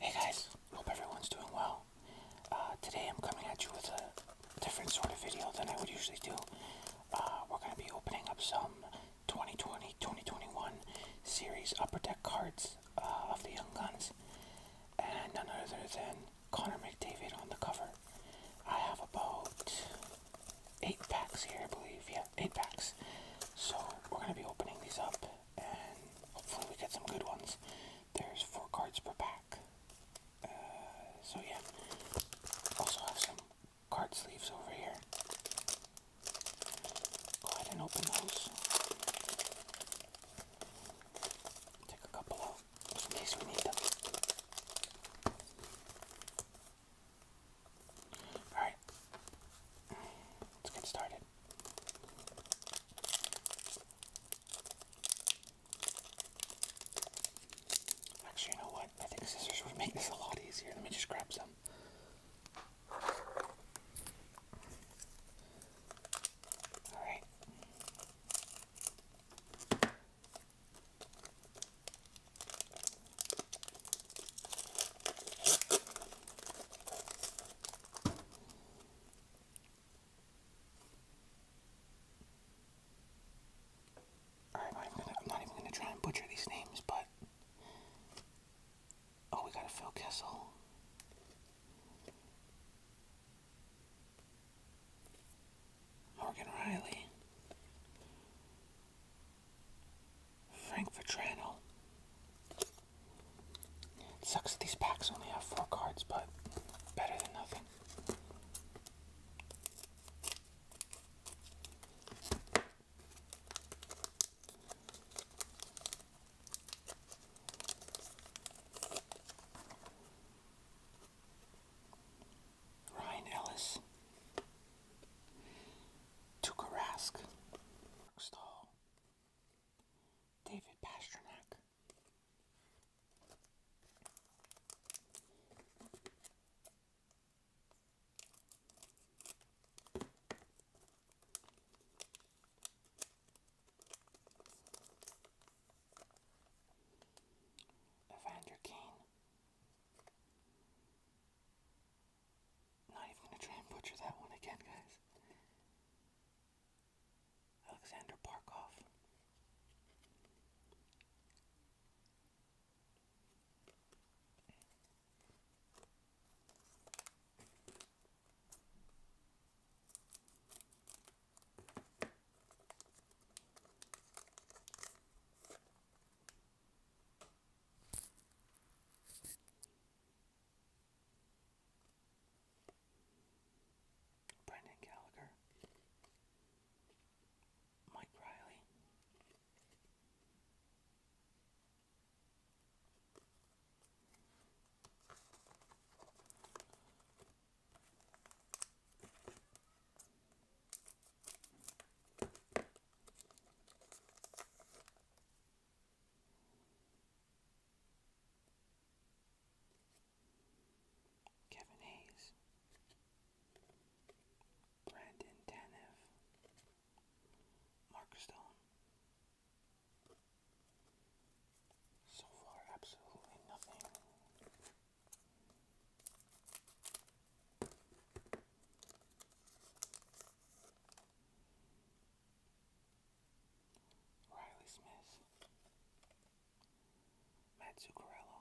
Hey guys, hope everyone's doing well. Uh, today I'm coming at you with a different sort of video than I would usually do. Uh, we're going to be opening up some 2020-2021 series Upper Deck cards uh, of the Young Guns. And none other than Connor McDavid on the cover. I have about 8 packs here, I believe. Yeah, 8 packs. So we're going to be opening these up and hopefully we get some good ones. There's four cards per pack. Uh, so yeah, also have some card sleeves over here. Go ahead and open those. Take a couple out just in case we need them. Alright, let's get started. Actually, you know what? I think scissors would make this a lot easier. Let me just grab some. Alright. I'm, not even gonna try and butcher these names, but oh, we got a Phil Kessel. Morgan Riley, Frank Vetrano. sucks these packs only have four cards, but better than nothing. Ryan Ellis, Tuka Rask, Mark Stahl, David Pasternak, Evander Kane, not even gonna try and butcher that one again, guys. Alexander Parkov. Brendan Gallagher, Mike Riley, Kevin Hayes, Brandon Tanev, Mark Stone. So far, absolutely nothing. Riley Smith, Matt Zuccarello,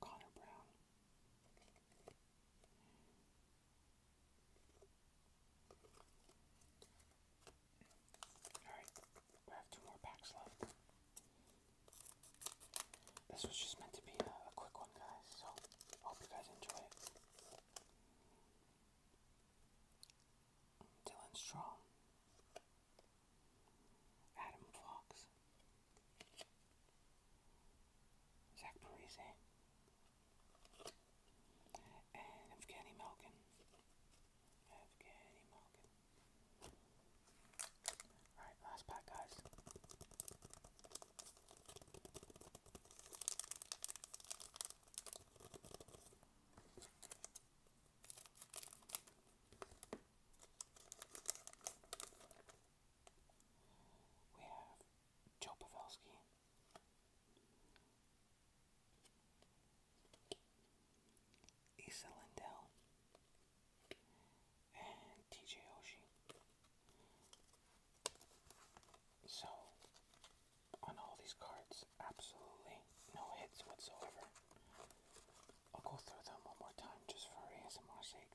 Connor Brown, Alright, we have two more packs left. This was just meant to be a, quick one, guys, so hope you guys enjoy it. Dylan Strong, Adam Fox, Zach Parise, and Evgeny Malkin. Evgeny Malkin. Alright, last pack, guys. We have Joe Pavelski, Issa Lindell and TJ Oshie. So, on all these cards, absolutely no hits whatsoever. I'll go through them one more time just for ASMR sake.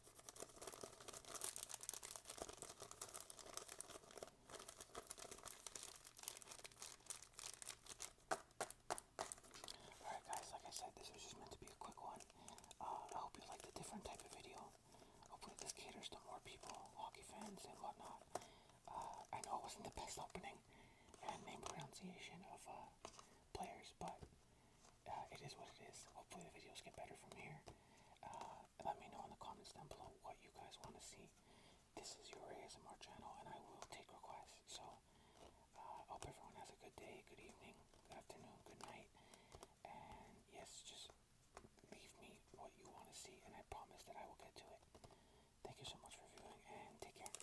Alright guys, like I said, this was just meant to be a quick one. Uh, I hope you like the different type of video. Hopefully this caters to more people, hockey fans and whatnot. Uh, I know it wasn't the best opening and name pronunciation of uh, players, but uh, it is what it is. Hopefully the videos get better from here. Uh, let me know in the comments down below what you guys want to see. This is your ASMR channel, and I will take requests. So uh, hope everyone has a good day, good evening, good afternoon, good night. And yes, just leave me what you want to see, and I promise that I will get to it. Thank you so much for viewing, and take care.